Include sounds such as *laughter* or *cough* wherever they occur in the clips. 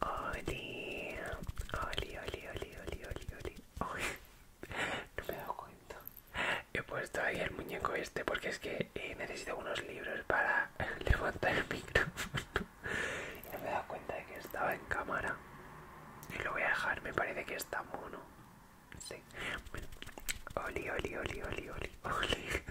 Oli, oli, oli, oli, oli, oli, oli. *laughs* no me he dado cuenta. He puesto ahí el muñeco este porque es que eh, necesito unos libros para *laughs* levantar el micrófono. no me he dado cuenta de que estaba en cámara. Y lo voy a dejar, me parece que está mono. Sí. oli, oli, oli, oli, oli. *laughs*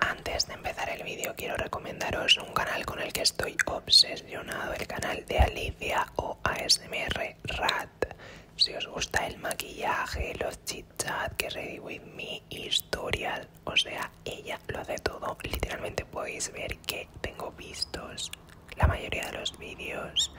antes de empezar el vídeo quiero recomendaros un canal con el que estoy obsesionado, el canal de Alicia o ASMR Rat. Si os gusta el maquillaje, los chit chat, que ready with me, historias, o sea, ella lo hace todo. Literalmente podéis ver que tengo vistos la mayoría de los vídeos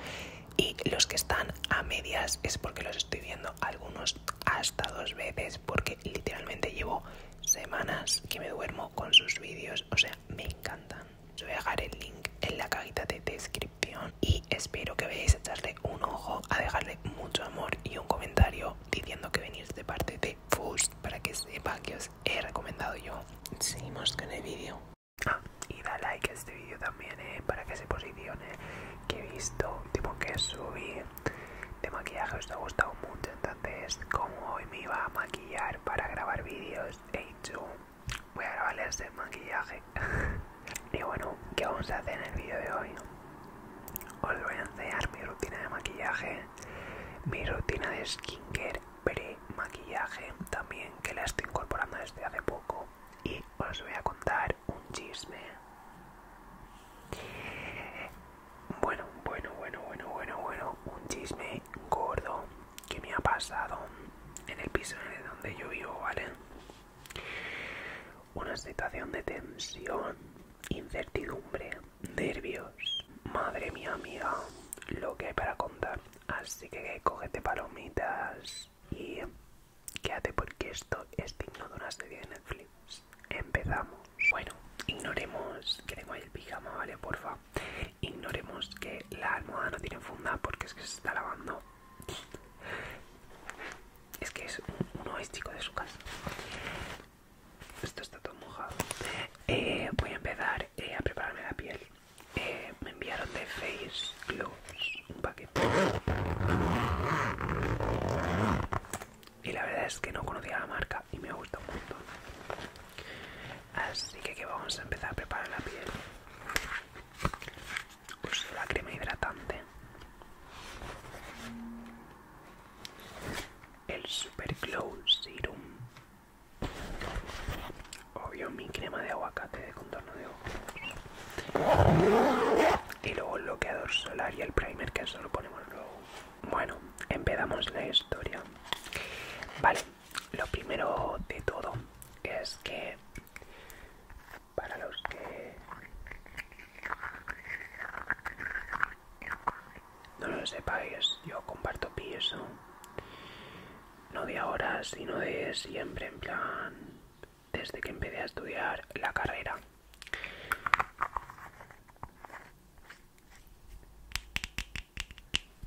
y los que están a medias es porque los estoy viendo algunos hasta dos veces porque literalmente llevo semanas que me duermo con sus vídeos, o sea, me encantan. voy a dejar el link en la cajita de descripción y espero que veáis a echarle un ojo, a dejarle mucho amor y un comentario diciendo que venís de parte de Fust para que sepa que os he recomendado yo. Seguimos con el vídeo. Ah, y da like a este vídeo también, eh, para que se posicione que he visto, tipo que subí de maquillaje os ha gustado mucho entonces como hoy me iba a maquillar para grabar vídeos he dicho voy a grabarles el maquillaje *laughs* y bueno que vamos a hacer en el vídeo de hoy os voy a enseñar mi rutina de maquillaje mi rutina de skincare pre maquillaje también que la estoy incorporando desde hace poco y os voy a contar un chisme bueno, bueno, bueno, bueno, bueno, bueno, un chisme gordo que me ha pasado en el piso donde yo vivo, ¿vale? Una situación de tensión, incertidumbre, nervios. Madre mía, amiga, lo que hay para contar. Así que cógete palomitas y quédate porque esto es digno de una serie de Netflix empezamos. Bueno, ignoremos que tengo ahí el pijama, ¿vale? Porfa. Ignoremos que la almohada no tiene funda porque es que se está lavando. Es que es un, de su casa. Esto está todo mojado. Eh, voy a empezar eh, a prepararme la piel. Eh, me enviaron de Face Gloss un paquete y la verdad es que no conocía la marca y me ha un montón así que, que vamos a empezar a preparar la piel uso pues la crema hidratante el super glow serum obvio mi crema de aguacate de contorno de ojos y luego el bloqueador solar y el primer que solo ponemos luego bueno, empezamos la historia. Vale, lo primero de todo es que para los que no lo sepáis, yo comparto piso, no de ahora, sino de siempre, en plan, desde que empecé a estudiar la carrera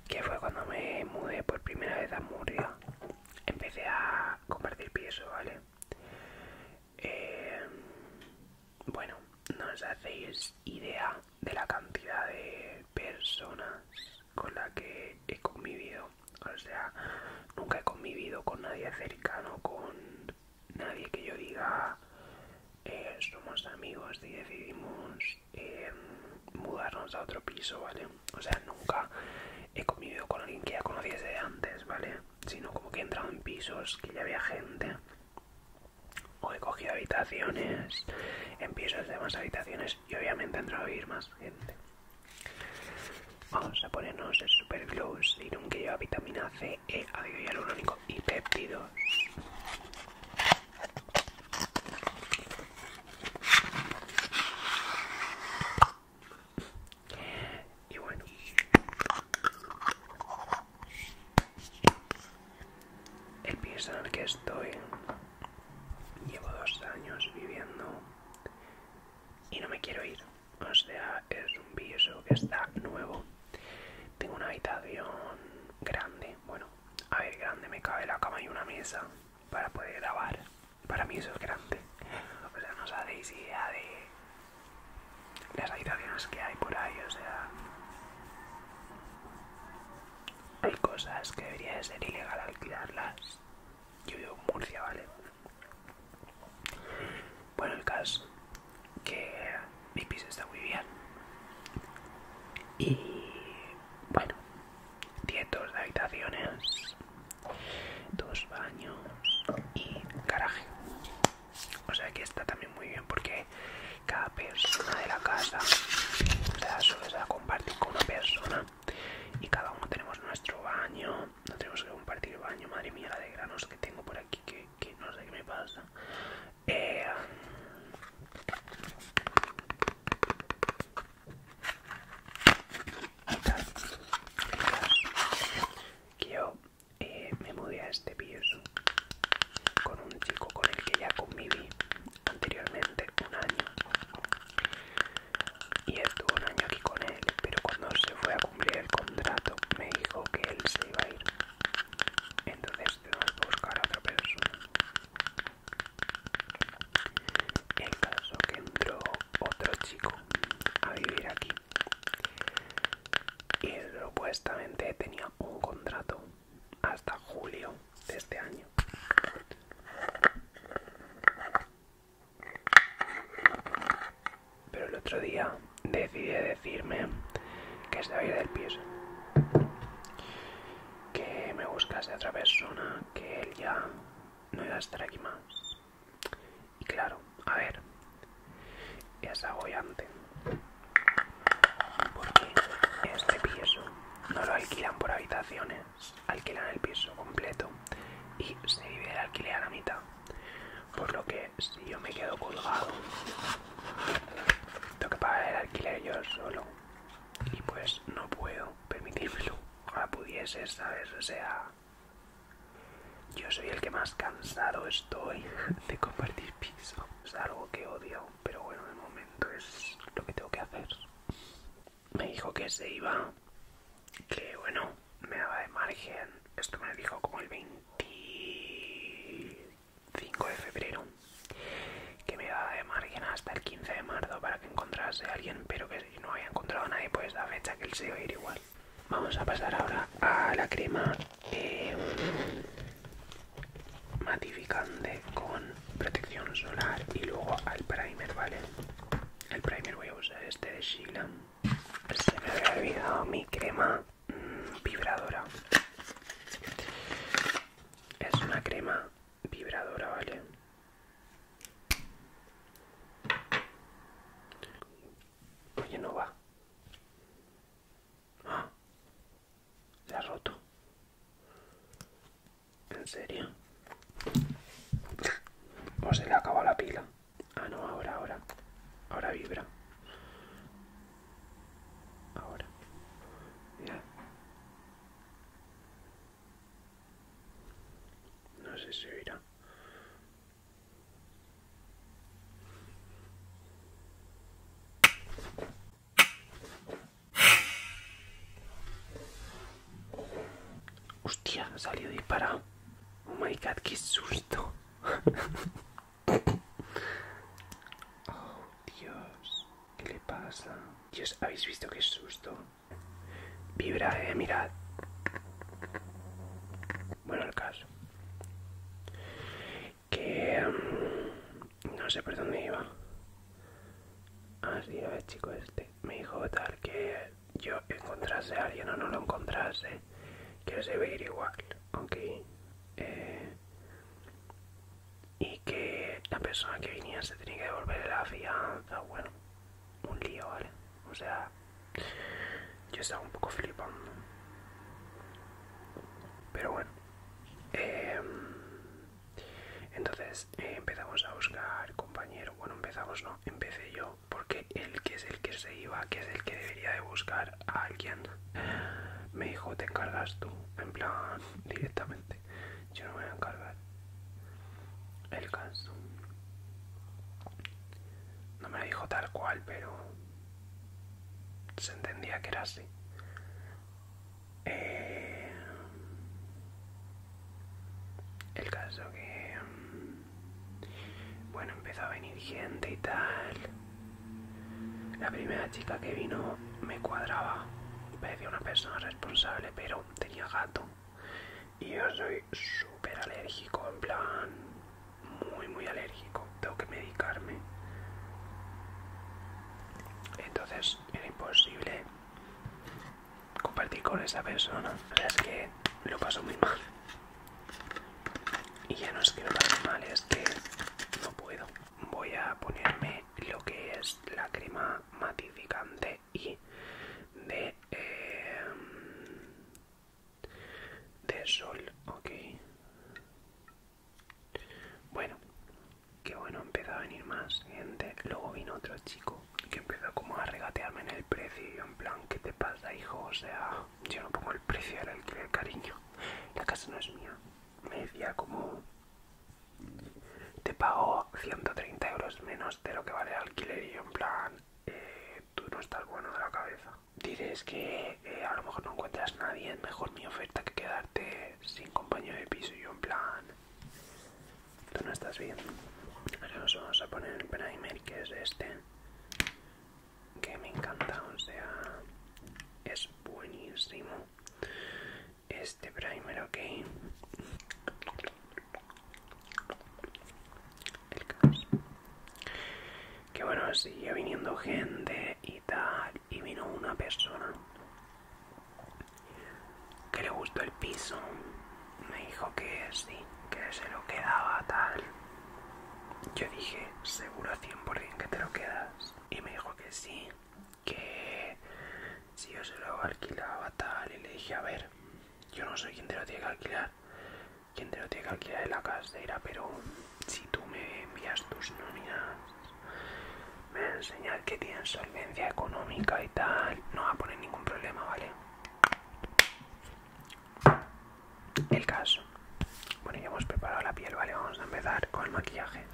que fue cuando me mudé por primera vez a Murcia empecé a compartir peso, vale eh, bueno no os hacéis idea de la cantidad de personas con las que he convivido o sea nunca he convivido con nadie cercano con nadie que yo diga eh, somos amigos y decidimos eh, mudarnos a otro piso, ¿vale? O sea, nunca he comido con alguien que ya conociese antes, ¿vale? Sino como que he entrado en pisos que ya había gente. O he cogido habitaciones en pisos de más habitaciones y obviamente he entrado a vivir más gente. Vamos a ponernos el super glow un que lleva vitamina C eh, lo único y péptidos. Y bueno, el piso en el que estoy llevo dos años viviendo y no me quiero ir. O sea, es un piso que está nuevo tengo una habitación grande, bueno, a ver, grande, me cabe la cama y una mesa para poder grabar. Para mí eso es grande. O sea, no os hacéis idea de las habitaciones que hay por ahí, o sea... Hay cosas que debería de ser ilegal alquilarlas. Yo vivo en Murcia, ¿vale? Bueno, el caso que mi piso está muy bien. Y bueno, tiene dos habitaciones, dos baños y garaje. O sea que está también muy bien porque cada persona de la casa cada sea, compartir con una persona y cada uno tenemos nuestro baño. No tenemos que compartir baño. Madre mía, la de granos que tengo por aquí que que no sé qué me pasa. Eh, yo eh, me mudé a este piso con un chico con el que ya conviví anteriormente un año y estuve un año aquí con él pero cuando se fue a cumplir el contrato me dijo que él se iba a ir entonces tengo que buscar a otra persona en caso que entró otro chico a vivir aquí y supuestamente tenía un contrato hasta julio de este año pero el otro día decidí decirme que se ir del piso, que me buscase otra persona, que él ya no iba a estar aquí más. Y claro, a ver, es agobiante, porque este piso no lo alquilan por habitaciones, alquilan el piso completo y se divide el alquiler a la mitad por lo que si yo me quedo colgado tengo que pagar el alquiler yo solo y pues no puedo permitírmelo ahora pudiese sabes o sea yo soy el que más cansado estoy *laughs* de compartir piso es algo que odio pero bueno de momento es lo que tengo que hacer me dijo que se iba que bueno me daba de margen esto me dijo como el 20 5 de febrero que me da de margen hasta el 15 de marzo para que encontrase a alguien pero que no haya encontrado a nadie pues la fecha que él se iba igual vamos a pasar ahora a la crema eh, matificante con protección solar y luego al primer vale el primer voy a usar este de Sheila. se me había olvidado mi crema vibradora. Es una crema vibradora, ¿vale? Oye, no va. se ah, ha roto. ¿En serio? O pues se le acabado la pila. Ah, no, ahora, ahora. Ahora vibra. Ahora. Ya. No sé si oirá. Hostia, salido disparado. Oh my god, qué susto. *laughs* Oh, Dios, ¿qué le pasa? Dios, ¿habéis visto qué susto? Vibra, eh, mirad. Bueno, el caso. Que... Mm, no sé por dónde iba. Así, ah, a ver, chico este. Me dijo tal que yo encontrase a alguien o no lo encontrase que, se ve igual, ¿ok? Eh, y que la persona que venía se tenía que devolver la fianza, bueno, un lío, ¿vale? O sea, yo estaba un poco flipando. Pero bueno, em, entonces eh, empezamos a buscar compañero. Bueno, empezamos, no, empecé yo, porque el que es el que se iba, que es el que debería de buscar, alguien. Me dijo, te encargas tú, en plan, directamente. Yo no me voy a encargar. El caso. No me lo dijo tal cual, pero se entendía que era así. Eh, el caso que... Mm, bueno, empezó a venir gente y tal. La primera chica que vino me cuadraba, parecía una persona responsable, pero tenía gato. Y yo soy súper alérgico, en plan, muy, muy alérgico. Tengo que medicarme. Entonces era imposible compartir con esa persona. La es que lo pasó muy mal y ya no escribo mal Es que no puedo voy a ponerme lo que es la crema matificante y de em, de sol ok bueno que bueno empezó a venir más gente luego vino otro chico que empezó como a regatearme en el precio y en plan ¿qué te pasa hijo? o sea yo no pongo el precio del alquiler, cariño. La casa no es mía. Me decía como... Te pago 130 euros menos de lo que vale el alquiler y yo en plan... Eh, tú no estás bueno de la cabeza. Dices que eh, a lo mejor no encuentras nadie, mejor mi oferta que quedarte sin compañero de piso y yo en plan... Tú no estás bien. Ahora nos vamos a poner el primer que es este que me encanta, o sea, es buenísimo este primer, ok. El caso. Que bueno, sigue viniendo gente y tal, y vino una persona que le gustó el piso, me dijo que sí, que se lo quedaba tal. Yo dije, seguro 100% que te lo quedas. Y me dijo que sí, que si yo se lo alquilaba tal. Y le dije, a ver, yo no sé quién te lo tiene que alquilar. Quien te lo tiene que alquilar de la casera, pero si tú me envías tus nóminas, me enseñas que tienes solvencia económica y tal. No va a poner ningún problema, ¿vale? el caso bueno ya hemos preparado la piel vale vamos a empezar con el maquillaje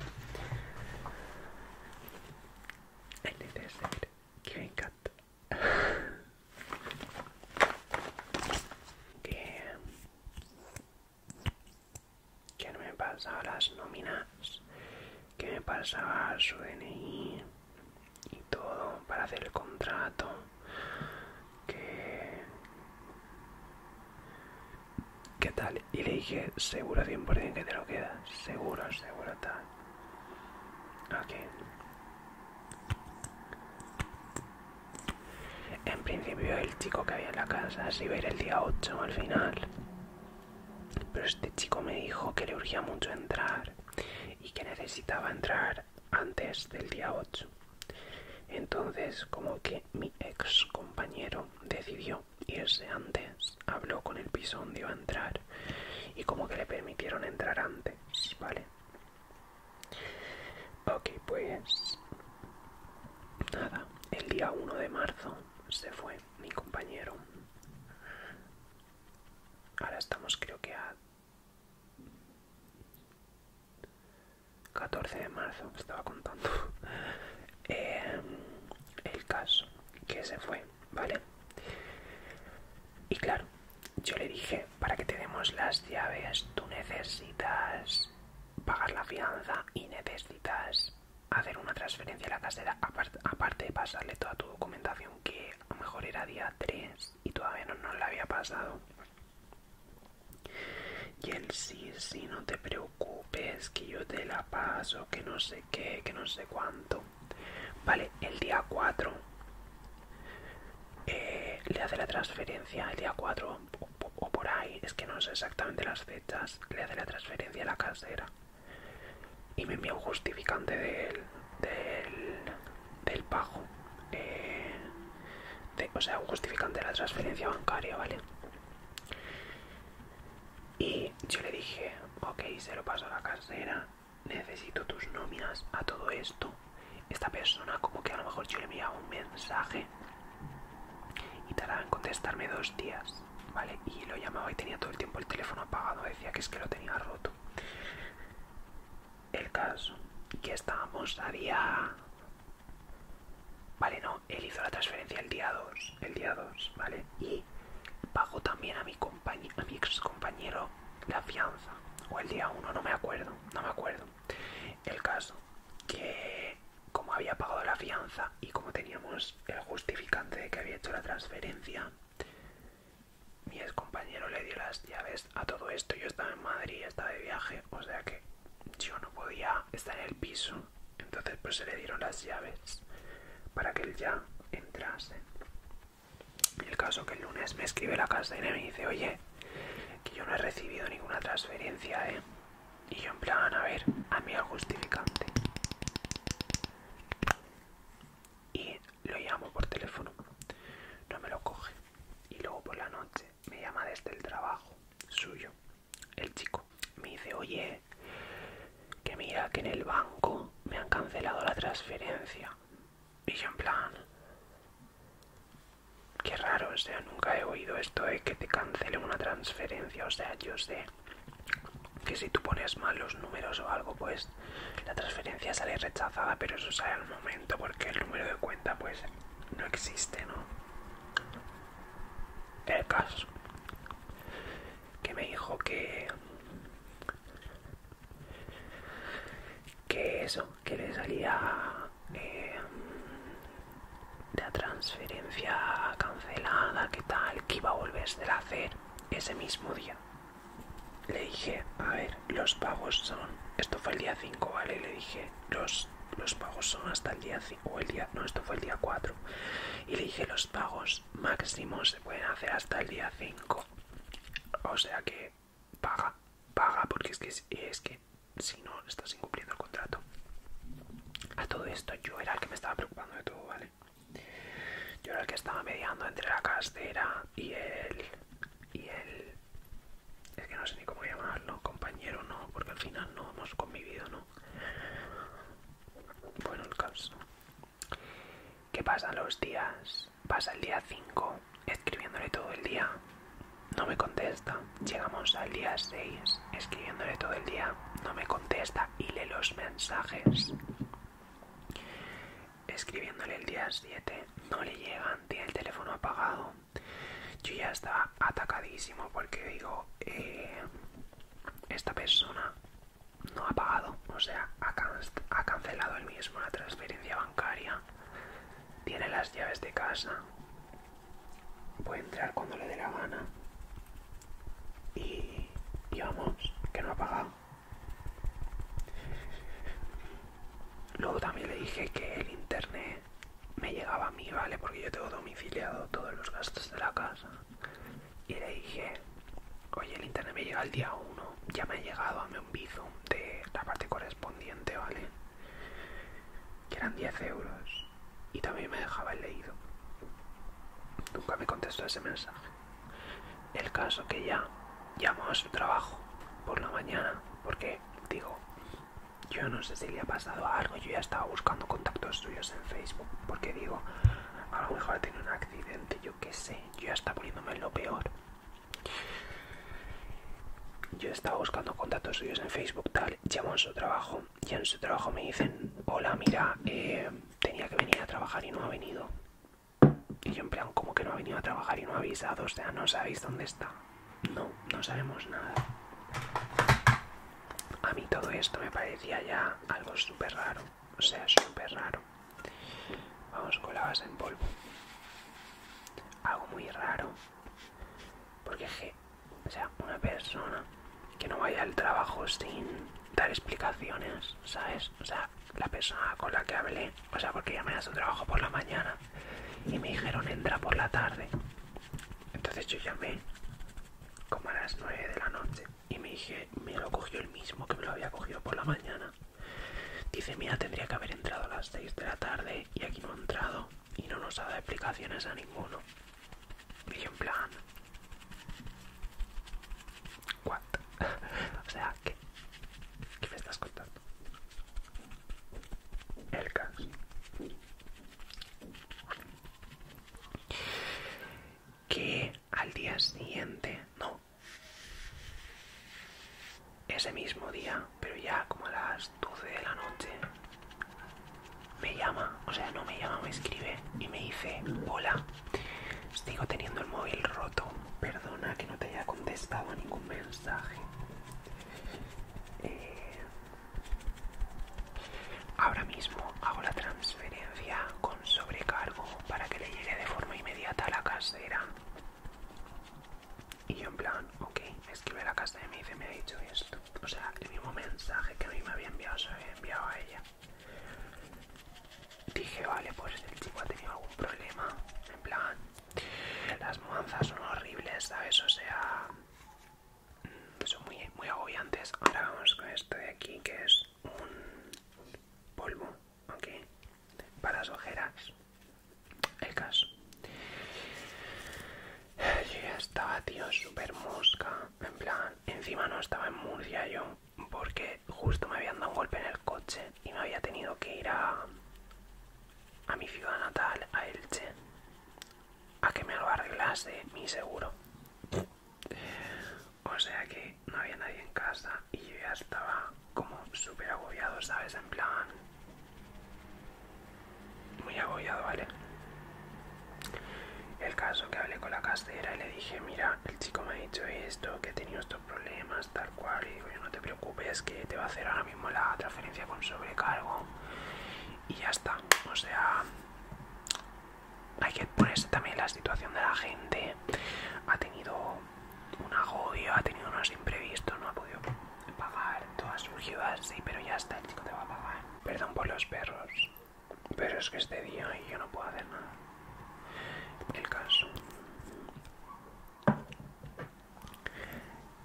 el que me que que no me pasaba las nóminas que me pasaba su DNI y todo para hacer el contrato que qué tal y le dije seguro 100% que te lo queda seguro seguro tal Ok en principio el chico que había en la casa se iba a ir el día 8 al final pero este chico me dijo que le urgía mucho entrar y que necesitaba entrar antes del día 8. Entonces, como que mi ex compañero decidió irse antes, habló con el piso donde iba a entrar y como que le permitieron entrar antes, ¿vale? Ok, pues nada, el día 1 de marzo se fue mi compañero. Ahora estamos creo que a 14 de marzo, estaba contando. *laughs* Eh, el caso que se fue, ¿vale? Y claro, yo le dije, para que te demos las llaves, tú necesitas pagar la fianza y necesitas hacer una transferencia a la casera, aparte de pasarle toda tu documentación, que a lo mejor era día 3 y todavía no la había pasado. Y el sí, sí, no te preocupes, que yo te la paso, que no sé qué, que no sé cuánto. Vale, el día 4 eh, le hace la transferencia, el día 4 o, por ahí, es que no sé exactamente las fechas, le hace la transferencia a la casera. Y me envía un justificante del, del, eh, o sea, un justificante de la transferencia bancaria, ¿vale? Y yo le dije, ok, se lo paso a la casera, necesito tus nóminas a todo esto. Esta persona como que a lo mejor yo le enviaba un mensaje y tardaba en contestarme dos días, ¿vale? Y lo llamaba y tenía todo el tiempo el teléfono apagado, decía que es que lo tenía roto. El caso, que estábamos a día Vale, no, él hizo la transferencia el día 2, el día 2, ¿vale? Y pagó también a mi, compañero a mi ex compañero la fianza, o el día 1, no me acuerdo, no me acuerdo. El caso, que como había pagado la fianza y como teníamos el justificante de que había hecho la transferencia, mi ex compañero le dio las llaves a todo esto yo estaba en Madrid, estaba de viaje, o sea que yo no podía estar en el piso. Entonces, pues se le dieron las llaves para que él ya entrase. el caso que el lunes me escribe la casa y me dice, oye, que yo no he recibido ninguna transferencia, ¿eh? Y yo en plan, a ver, a mí al justificante. Y lo llamo por teléfono. No me lo coge. Y luego por la noche me llama desde el trabajo suyo, el chico. Me dice, oye, que mira que en el banco me han cancelado la transferencia. Y yo en plan, qué raro, o sea, nunca he oído esto de que te cancelen una transferencia. O sea, yo sé que si tú pones mal los números o algo, pues la transferencia sale rechazada, pero eso sale al momento porque el número de cuenta, pues no existe, ¿no? El caso que me dijo que que eso, que le salía de eh, la transferencia cancelada, que tal, que iba a volverse a hacer ese mismo día. Le dije, a ver, los pagos son, esto fue el día 5, ¿vale? Le dije, los los pagos son hasta el día 5 o el día, no, esto fue el día 4. Y le dije, los pagos máximos se pueden hacer hasta el día 5. O sea que paga, paga, porque es que, es que si no, estás incumpliendo el contrato. A todo esto yo era el que me estaba preocupando de todo, ¿vale? Yo era el que estaba mediando entre la castera y el, y el, es que no sé ni cómo llamarlo, compañero no, porque al final no hemos convivido, ¿no? Bueno, el caso. ¿Qué pasa los días? Pasa el día 5, escribiéndole todo el día. No me contesta. Llegamos al día 6, escribiéndole todo el día. No me contesta y le los mensajes. Escribiéndole el día 7, no le llegan, tiene el teléfono apagado yo ya estaba atacadísimo porque digo, eh, esta persona no ha pagado, o sea, ha, cancelado el mismo la transferencia bancaria, tiene las llaves de casa, puede entrar cuando le dé la gana y, digamos que no ha pagado. Luego también le dije que el internet me llegaba a mí, ¿vale? Porque yo tengo domiciliado todos los gastos de la casa. Y le dije, oye, el internet me llega el día 1, ya me ha llegado, a mí un bizum de la parte correspondiente, ¿vale? Que eran 10 euros. Y también me dejaba el leído. Nunca me contestó ese mensaje. El caso que ya llamó a su trabajo por la mañana, porque digo, yo no sé si le ha pasado algo, yo ya estaba buscando contactos suyos en Facebook, porque digo, a lo mejor ha un accidente, yo qué sé, yo ya estaba poniéndome en lo peor. Yo estaba buscando contactos suyos en Facebook, tal, llevo en su trabajo y en su trabajo me dicen, hola, mira, eh, tenía que venir a trabajar y no ha venido. Y yo en plan, como que no ha venido a trabajar y no ha avisado, o sea, no sabéis dónde está no, no sabemos nada. A mí todo esto me parecía ya algo súper raro, o sea, súper raro. Vamos con la base en polvo. Algo muy raro. Porque o sea, una persona que no vaya al trabajo sin dar explicaciones, ¿sabes? O sea, la persona con la que hablé, o sea, porque ya me da su trabajo por la mañana y me dijeron entra por la tarde. Entonces yo llamé como a las 9 de la noche y me dije, me lo cogió el mismo que me lo había cogido por la mañana. Dice, mira, tendría que haber entrado a las 6 de la tarde y aquí no ha entrado y no nos ha dado explicaciones a ninguno. Y yo en plan... ¿What? *laughs* o sea, ¿qué? ¿Qué me estás contando? el caso Que al día siguiente, no, ese mismo día, pero ya como a las 12 de la noche, me llama, o sea, no me llama, me escribe y me dice, hola, sigo teniendo el móvil roto, perdona que no te haya contestado ningún mensaje. Eh, ahora mismo hago la transferencia con sobrecargo para que le llegue de forma inmediata a la casera. Y yo en plan, ok, me escribe la casa y me dice, me ha dicho esto. O sea, el mismo mensaje que a mí me había enviado se había enviado a ella. Dije, vale, pues el tipo ha tenido algún problema. En plan, las mudanzas son horribles, ¿sabes? O sea, mm, son muy, muy agobiantes. Ahora vamos con esto de aquí, que es un polvo, ¿ok? Para las ojeras. El caso. Yo ya estaba, tío, súper mosca. En plan, encima no estaba en Murcia yo, porque justo me habían dado un golpe en el coche y me había tenido que ir a a mi ciudad natal, a Elche, a que me lo arreglase mi seguro. O sea que no había nadie en casa y yo ya estaba como súper agobiado, ¿sabes? En plan... Muy agobiado, ¿vale? El caso que hablé con la casera y le dije, mira, el chico me ha dicho esto, que he tenido estos problemas, tal cual, y digo, yo no te preocupes, que te va a hacer ahora mismo la transferencia con sobrecargo y ya está o sea hay que ponerse también la situación de la gente ha tenido un agobio ha tenido unos imprevistos no ha podido pagar todo ha surgido así pero ya está el chico te va a pagar perdón por los perros pero es que este día yo no puedo hacer nada el caso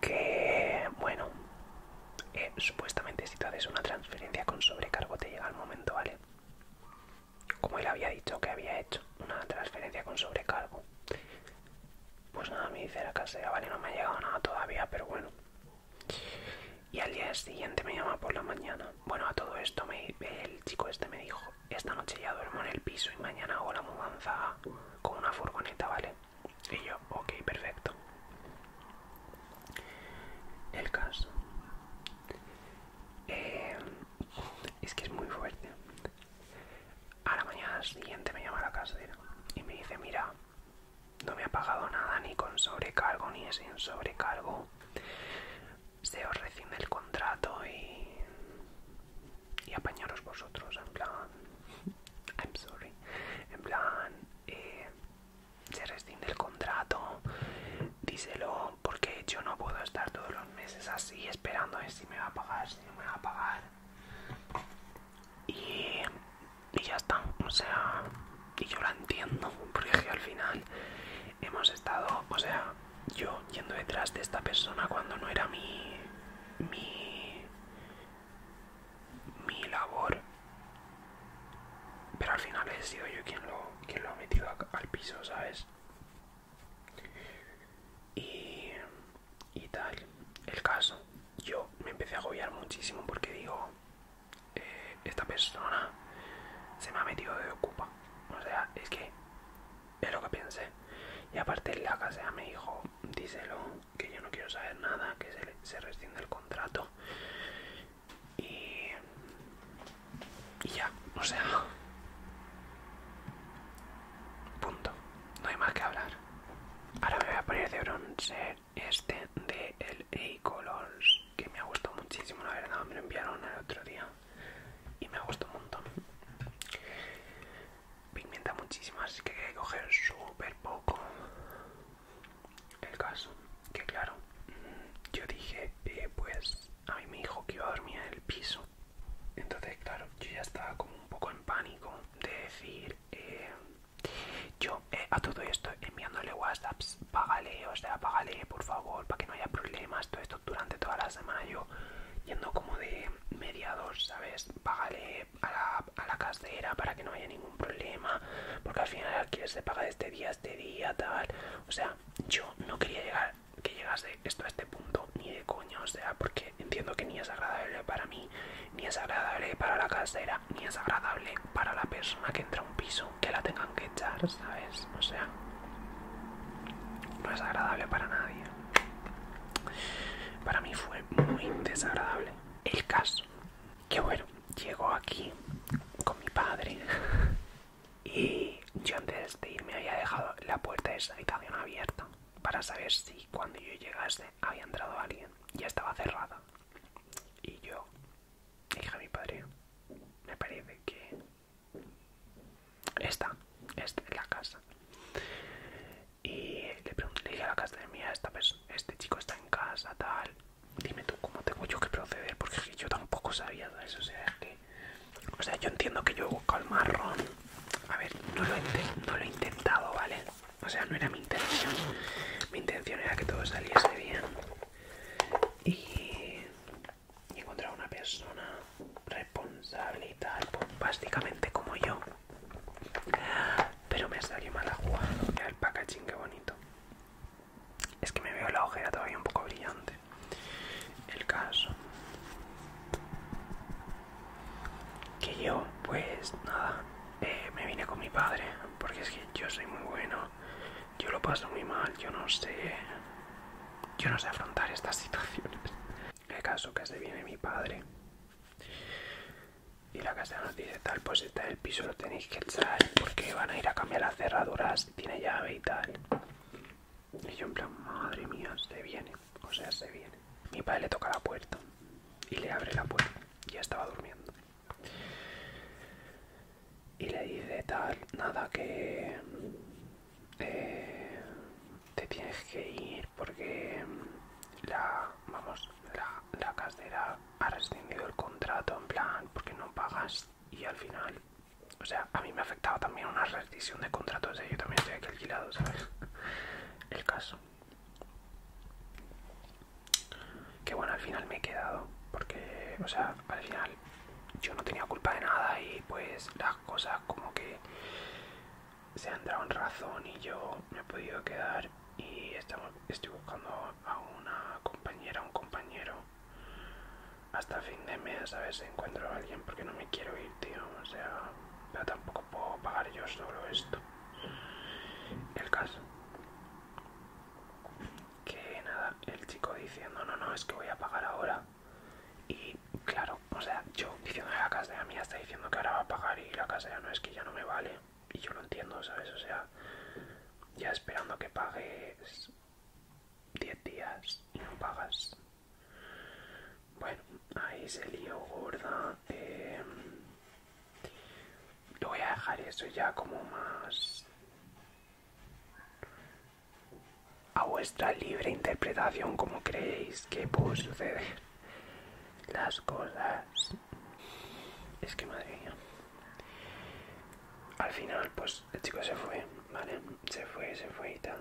que bueno eh, supuestamente si tú haces una transferencia con sobrecargo te llega al momento vale como él había dicho que había hecho una transferencia con sobrecargo pues nada me dice la casera vale no me ha llegado nada todavía pero bueno y al día siguiente me llama por la mañana bueno a todo esto me, el chico este me dijo esta noche ya duermo en el piso y mañana hago la mudanza con una furgoneta vale y yo, ok, perfecto. El caso eh, es que es muy fuerte. A la mañana siguiente me llama la casera y me dice, mira, no me ha pagado nada ni con sobrecargo ni sin sobrecargo. Se os rescinde el contrato y y apañaros vosotros, en plan, *laughs* I'm sorry, en plan, eh, se rescinde el contrato, díselo, porque yo no puedo estar todos los meses así esperando si me va a pagar, si no me va a pagar. Y, y ya está, o sea, y yo la entiendo, porque al final hemos estado, o sea, yo yendo detrás de esta persona cuando no era mi, mi, mi labor pero al final he sido yo quien lo, quien lo ha metido al piso, ¿sabes? Y, y tal, el caso, yo me empecé a agobiar muchísimo porque digo, eh, esta persona se me ha metido de ocupa, o sea, es que es lo que pensé. Y aparte la casa me dijo, díselo, que yo no quiero saber nada, que se, se rescinde el contrato. Y, ya, o sea, punto. No hay más que hablar. Ahora me voy a poner de bronzer este de el A Colors, que me ha gustado muchísimo, la verdad, me lo enviaron el otro día y me ha gustado un montón pigmenta muchísimo así que hay que coger súper poco el caso que claro mm, yo dije eh, pues a mí me dijo que iba a dormir en el piso entonces claro yo ya estaba como un poco en pánico de decir eh, yo eh, a todo esto enviándole whatsapps págale o sea págale por favor para que no haya problemas todo esto durante toda la semana yo yendo como de mediados sabes págale a, la, casera para que no haya ningún problema porque al final alquiler se paga de este día a este día tal o sea yo no quería llegar que llegase esto a este punto ni de coño o sea porque entiendo que ni es agradable para mí ni es agradable para la casera ni es agradable para la persona que entra a un piso que la tengan que echar sabes o sea no es agradable para nadie para mí fue muy desagradable el caso. Que bueno, llegó aquí con mi padre *laughs* y yo antes de irme había dejado la puerta de esa habitación abierta para saber si cuando yo llegase había entrado alguien. Ya estaba cerrada. Y yo dije a mi padre, me parece que está esta es la casa. Y le, pregunté, dije a la casa de mía, esta este chico está en casa, tal. Dime tú cómo tengo yo que proceder, porque yo tampoco sabía, de O sea, que... O sea, yo entiendo que yo he buscado el marrón. A ver, no lo, he, lo intentado, ¿vale? O sea, no era mi intención. Mi intención era que todo saliese bien. Y, y encontrar una persona responsable y tal, básicamente como yo, pero me salió mal jugada. Mira el packaging, qué bonito. Es que me veo la ojera todavía un poco brillante. El caso. Que yo, pues nada, eh, me vine con mi padre. Porque es que yo soy muy bueno. Yo lo paso muy mal. Yo no sé. Yo no sé afrontar estas *laughs* situaciones. El caso que se viene mi padre y la casa nos dice tal, pues está en el piso, lo tenéis que echar porque van a ir a cambiar las cerraduras, tiene llave y tal. Y yo en plan, madre mía, se viene, o sea, se viene. Mi padre le toca la puerta y le abre la puerta, ya estaba durmiendo. Y le dice tal, nada que... Eh, te tienes que ir porque mm, la vamos la, la casera ha rescindido el contrato en plan porque no pagas y al final o sea a mí me ha afectado también una rescisión de contrato o ¿eh? yo también estoy aquí alquilado sabes *laughs* el caso que bueno al final me he quedado porque o sea al final yo no tenía culpa de nada y pues las cosas como que se ha entrado en razón y yo me he podido quedar y estamos, estoy buscando a una compañera, un compañero hasta fin de mes a ver si encuentro a alguien porque no me quiero ir, tío, o sea, pero tampoco puedo pagar yo solo esto. El caso que nada, el chico diciendo no, no, es que voy a pagar ahora y claro, o sea, yo diciendo a la casa la mía está diciendo que ahora va a pagar y la casa ya no es que ya no me vale. Y yo lo entiendo, ¿sabes? O sea, ya esperando que pagues 10 días y no pagas. Bueno, ahí se lío gorda. Eh, lo voy a dejar eso ya como más a vuestra libre interpretación como creéis que puede suceder las cosas es que madre mía al final pues el chico se fue vale se fue se fue y tal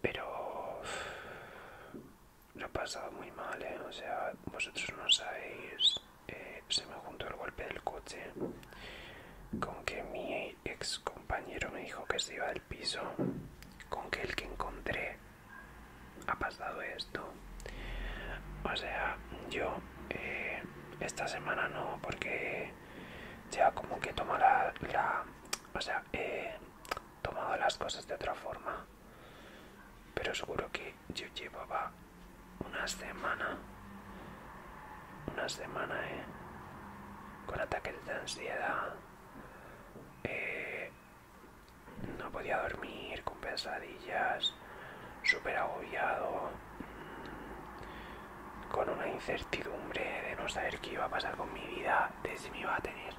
pero lo he pasado muy mal ¿eh? o sea vosotros no sabéis eh, se me juntó el golpe del coche con que mi ex compañero me dijo que se iba del piso, con que el que encontré ha pasado esto. O sea, yo eh, esta semana no, porque ya como que toma la, O sea, he tomado las cosas de otra forma. Pero seguro que yo llevaba una semana, una semana, eh, con ataques de ansiedad, eh, no podía dormir, con pesadillas, súper agobiado, mm, con una incertidumbre de no saber qué iba a pasar con mi vida, de si me iba a tener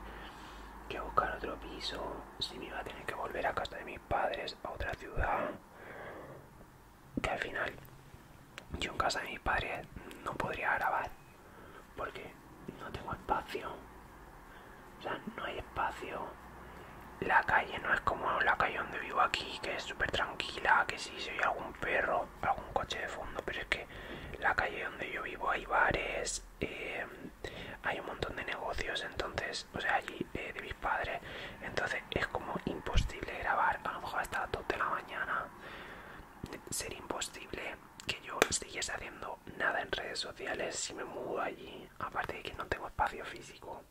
que buscar otro piso, si me iba a tener que volver a casa de mis padres, a otra ciudad, que al final yo en casa de mis padres no podría grabar porque no tengo espacio o sea no hay espacio la calle no es como la calle donde vivo aquí que es súper tranquila que si soy se oye algún perro algún coche de fondo pero es que la calle donde yo vivo hay bares eh, hay un montón de negocios entonces o sea allí eh, de mis padres entonces es como imposible grabar a lo mejor hasta las 2 de la mañana sería imposible que yo siguiese haciendo nada en redes sociales si me mudo allí, aparte de que no tengo espacio físico.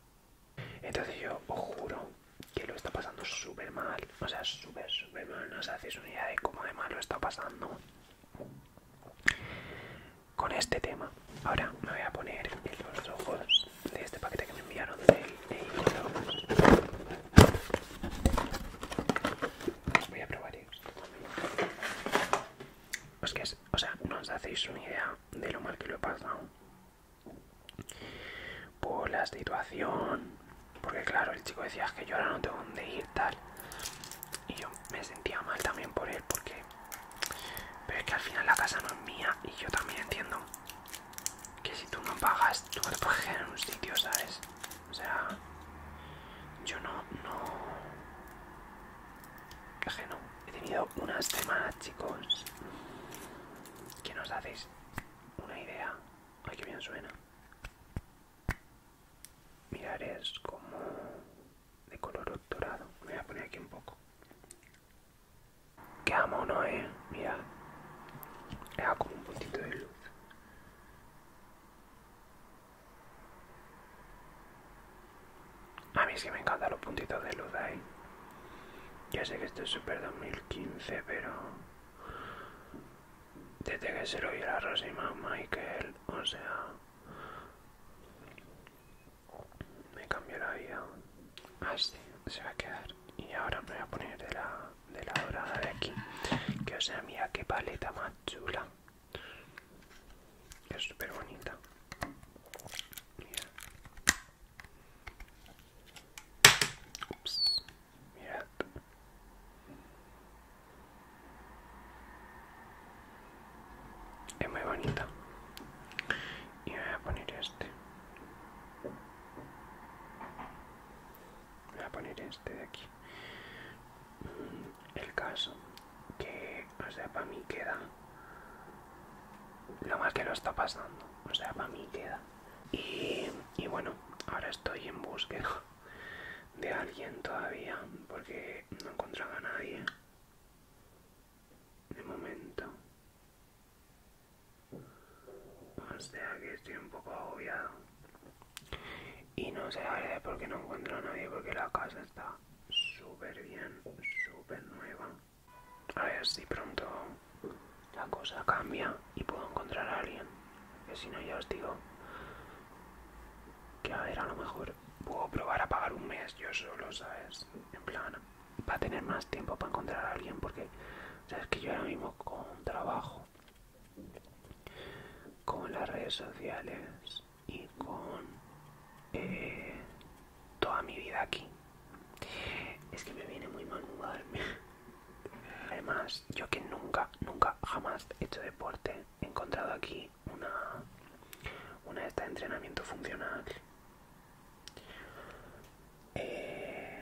Entonces yo os juro que lo está pasando súper mal, o sea, súper, súper mal, no os hacéis una idea de cómo de mal lo está pasando con este tema. Ahora me voy a poner en los ojos de este paquete que me enviaron del de Voy a probar que, o sea, no os hacéis una idea de lo mal que lo he pasado. Por la situación, porque claro, el chico decía que yo ahora no tengo dónde ir, tal. Y yo me sentía mal también por él, porque. Pero es que al final la casa no es mía, y yo también entiendo que si tú no pagas, tú te quedar en un sitio, ¿sabes? O sea, yo no, no. Caje no. He tenido unas semanas, chicos. Que nos hacéis una idea. Ay, que bien suena. Mirar es como de color dorado. Me voy a poner aquí un poco. Qué amo, ¿no, eh? Mirad. Le hago como un puntito de luz. A mí sí me encantan los puntitos de luz ahí. Ya sé que esto es super 2015, pero... Desde que se lo dio la Rosima, Michael, o sea... Me cambió la vida. Así ah, se va a quedar. Y ahora me voy a poner de la de la dorada de aquí que o sea mira qué paleta más chula es súper bonita es muy bonita y voy a poner este voy a poner este este de aquí el caso que o sea para mí queda lo más que lo está pasando o sea para mí queda y, y bueno ahora estoy en búsqueda de alguien todavía porque no encontraba a nadie de momento o sea que estoy un poco agobiado y no sé ver por porque no encuentro a nadie porque la casa está súper bien, súper nueva. A ver si pronto la cosa cambia y puedo encontrar a alguien. Que si no ya os digo que a ver, a lo mejor puedo probar a pagar un mes yo solo, ¿sabes? En plan, Va a tener más tiempo para encontrar a alguien porque, ¿sabes? Que yo ahora mismo con trabajo con las redes sociales y con eh, toda mi vida aquí. Es que me viene muy mal mudarme. *laughs* Además, yo que nunca, nunca, jamás he hecho deporte, he encontrado aquí una, una de estas entrenamiento funcional. Eh,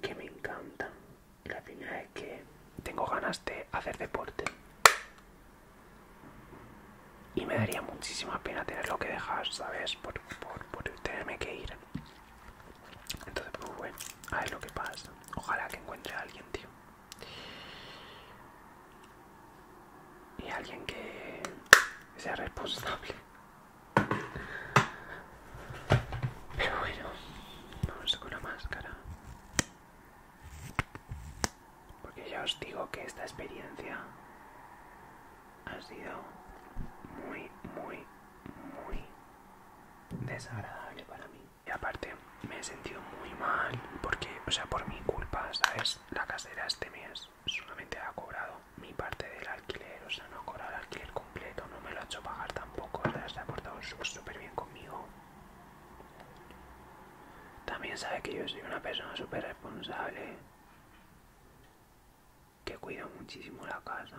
que me encanta la final es que tengo ganas de hacer deporte. Y me daría muchísima pena tenerlo que dejar, ¿sabes? Por, por, por tenerme que ir. Entonces, pues bueno, a ver lo que pasa. Ojalá que encuentre a alguien, tío. Y alguien que sea responsable. Pero bueno, vamos con la máscara. Porque ya os digo que esta experiencia ha sido muy, muy, muy desagradable para mí. Y aparte, me he sentido muy mal porque, o sea, por mi culpa, ¿sabes? La casera este mes solamente ha cobrado mi parte del alquiler, o sea, no ha cobrado el alquiler no me lo ha hecho pagar tampoco, se ha portado súper bien conmigo. También sabe que yo soy una persona súper responsable, que cuida muchísimo la casa,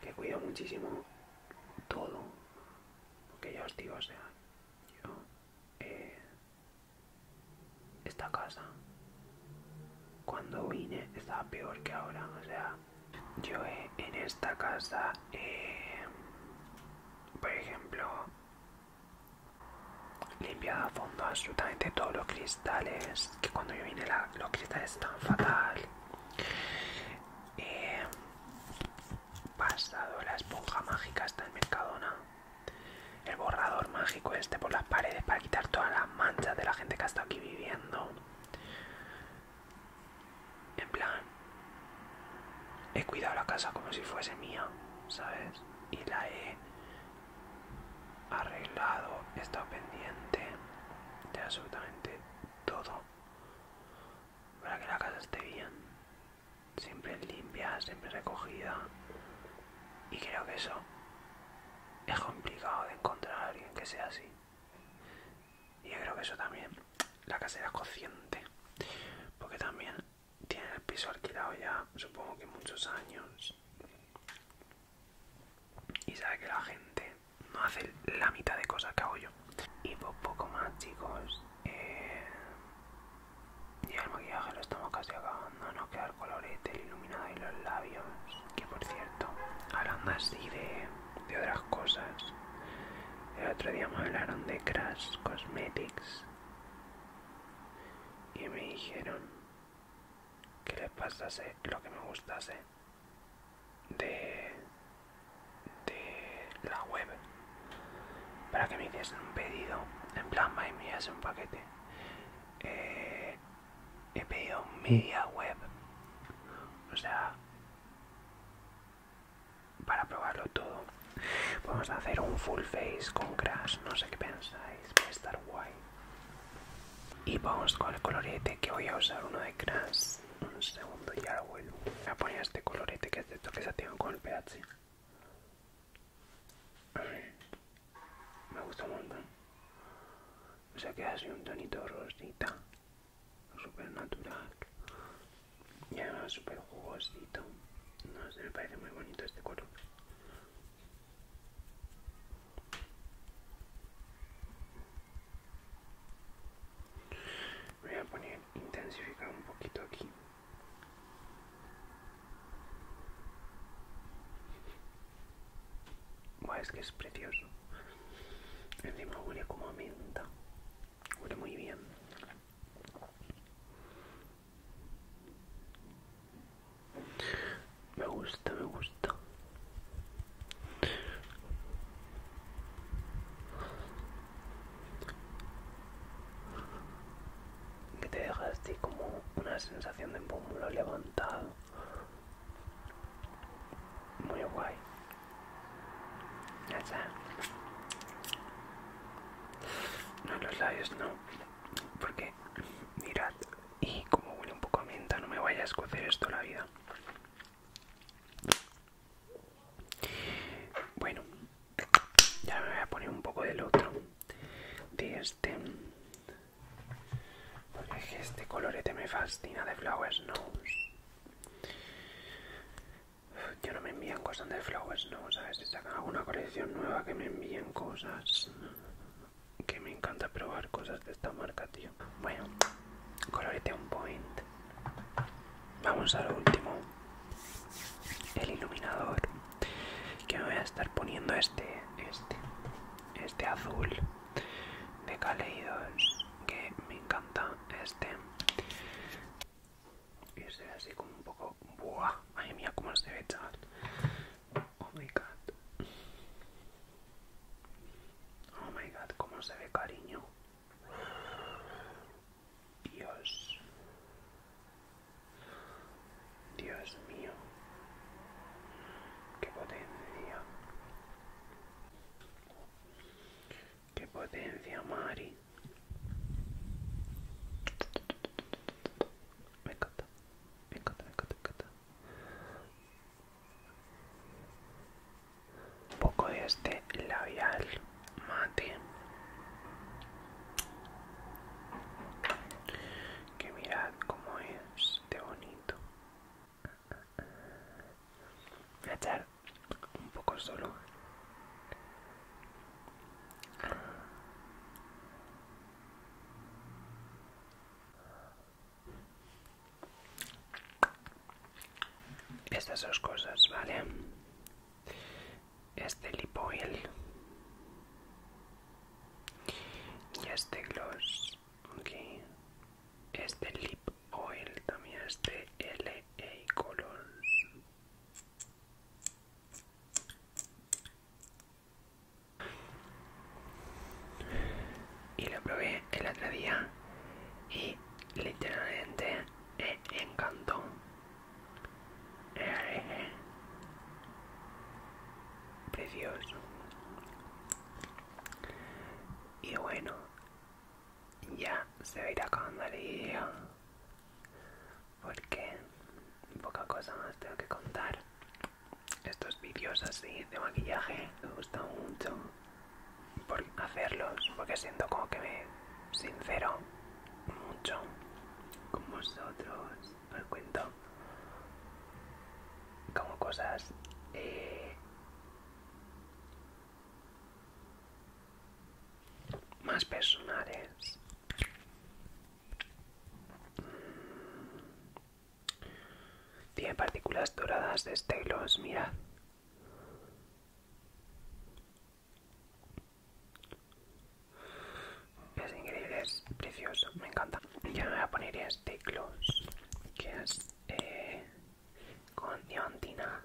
que cuida muchísimo todo, que ya os digo, o sea, yo, eh, esta casa, cuando vine estaba peor que ahora, o sea, yo en esta casa, eh, por ejemplo, limpiado a fondo absolutamente todos los cristales, que cuando yo vine los cristales están fatal. He eh, pasado la esponja mágica hasta el Mercadona. El borrador mágico este por las paredes para quitar todas las manchas de la gente que ha estado aquí viviendo. En plan, he cuidado la casa como si fuese mía, ¿sabes? Y la he arreglado, he estado pendiente de absolutamente todo para que la casa esté bien. Siempre limpia, siempre recogida. Y creo que eso es complicado de encontrar a alguien que sea así. Y yo creo que eso también, la casera es consciente, porque también tiene el piso alquilado ya, supongo que muchos años, y sabe que la gente no hace la mitad de cosas que hago yo. Y pues poco más, chicos. Eh, y Ya el maquillaje lo estamos casi acabando, No quedar el colorete, el iluminado y los labios. Que por cierto, hablando así de, otras cosas, el otro día me hablaron de Crash Cosmetics y me dijeron que les pasase lo que me gustase de, de la web para que me hiciesen un pedido en plan me enviase un paquete eh, he pedido media web. O sea, para probarlo todo. Vamos a hacer un full face con crash, no sé qué pensáis, a estar guay. Y vamos con el colorete que voy a usar uno de crash. Un segundo ya lo vuelvo. Voy a poner este colorete que es de que se satín con el pH. Me gusta un montón. O sea que así un tonito rosita, súper natural. Y además súper jugosito. No sé, me parece muy bonito este color. Voy a poner intensificar un poquito aquí es que es precioso. Encima huele como a menta. Huele muy bien. Me gusta, me gusta. Que te dejaste como una sensación de pómulo levantado muy guay. Ya está. No los labios no. Porque mirad. Y como huele un poco a menta, no me vaya a escocer esto la vida. Bueno, ya me voy a poner un poco del otro. De este. Porque que este colorete me fascina de Flower Snows. Yo no me envían cosas de Flower Snows, ver Si sacan alguna colección nueva que me envíen cosas. Que me encanta probar cosas de esta marca, tío. Bueno, colorete un point. Vamos al último. El iluminador. Que me voy a estar poniendo este, este, este azul de Kaleidos que me encanta este y este así como un poco buah ay mía cómo se ve chaval oh my god oh my god cómo se ve cariño Dios Dios mío qué potencia Qué potencia, Mari. Me encanta, me encanta, me Un poco de este labial mate. Que mirad cómo es de bonito. Voy a echar un poco solo. Estas dos cosas, ¿vale? Este oil y este gloss. Ok. Este Lip Oil, también es de LA e Color. Y lo probé el otro día y literalmente me encantó. Precioso. Y bueno, ya se va a ir acabando el video. Porque poca cosa más tengo que contar. Estos vídeos así de maquillaje me gustan mucho por hacerlos, porque siento como que me sincero mucho con vosotros. Os cuento como cosas eh, más personales tiene partículas doradas de Stylos, mirad es increíble es precioso me encanta ya me voy a poner estelos que es eh, con diamantina.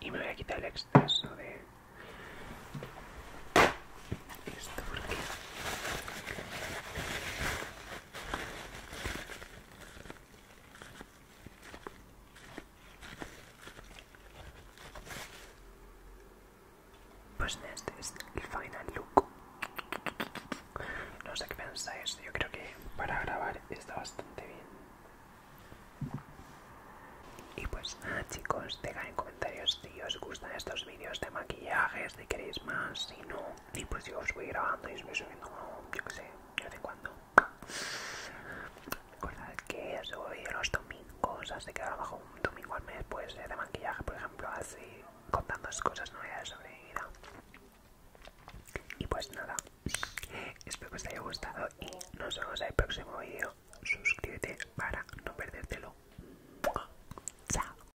Y me voy a quitar el exceso de esto porque pues este es el final look. No sé qué pensáis, yo creo que para grabar está bastante bien. Y pues nada ah, chicos, dejad en comentarios si os gustan estos vídeos de maquillaje, si queréis más, si no, y pues yo os voy grabando y os voy subiendo yo que sé, de vez en cuando. Recordad que subo vídeos los domingos, así que bajo un domingo al mes, pues de maquillaje, por ejemplo, así contando cosas nuevas sobre mi vida. Y pues nada, espero que os haya gustado y nos vemos en el próximo vídeo. Suscríbete para no perdértelo. Chao.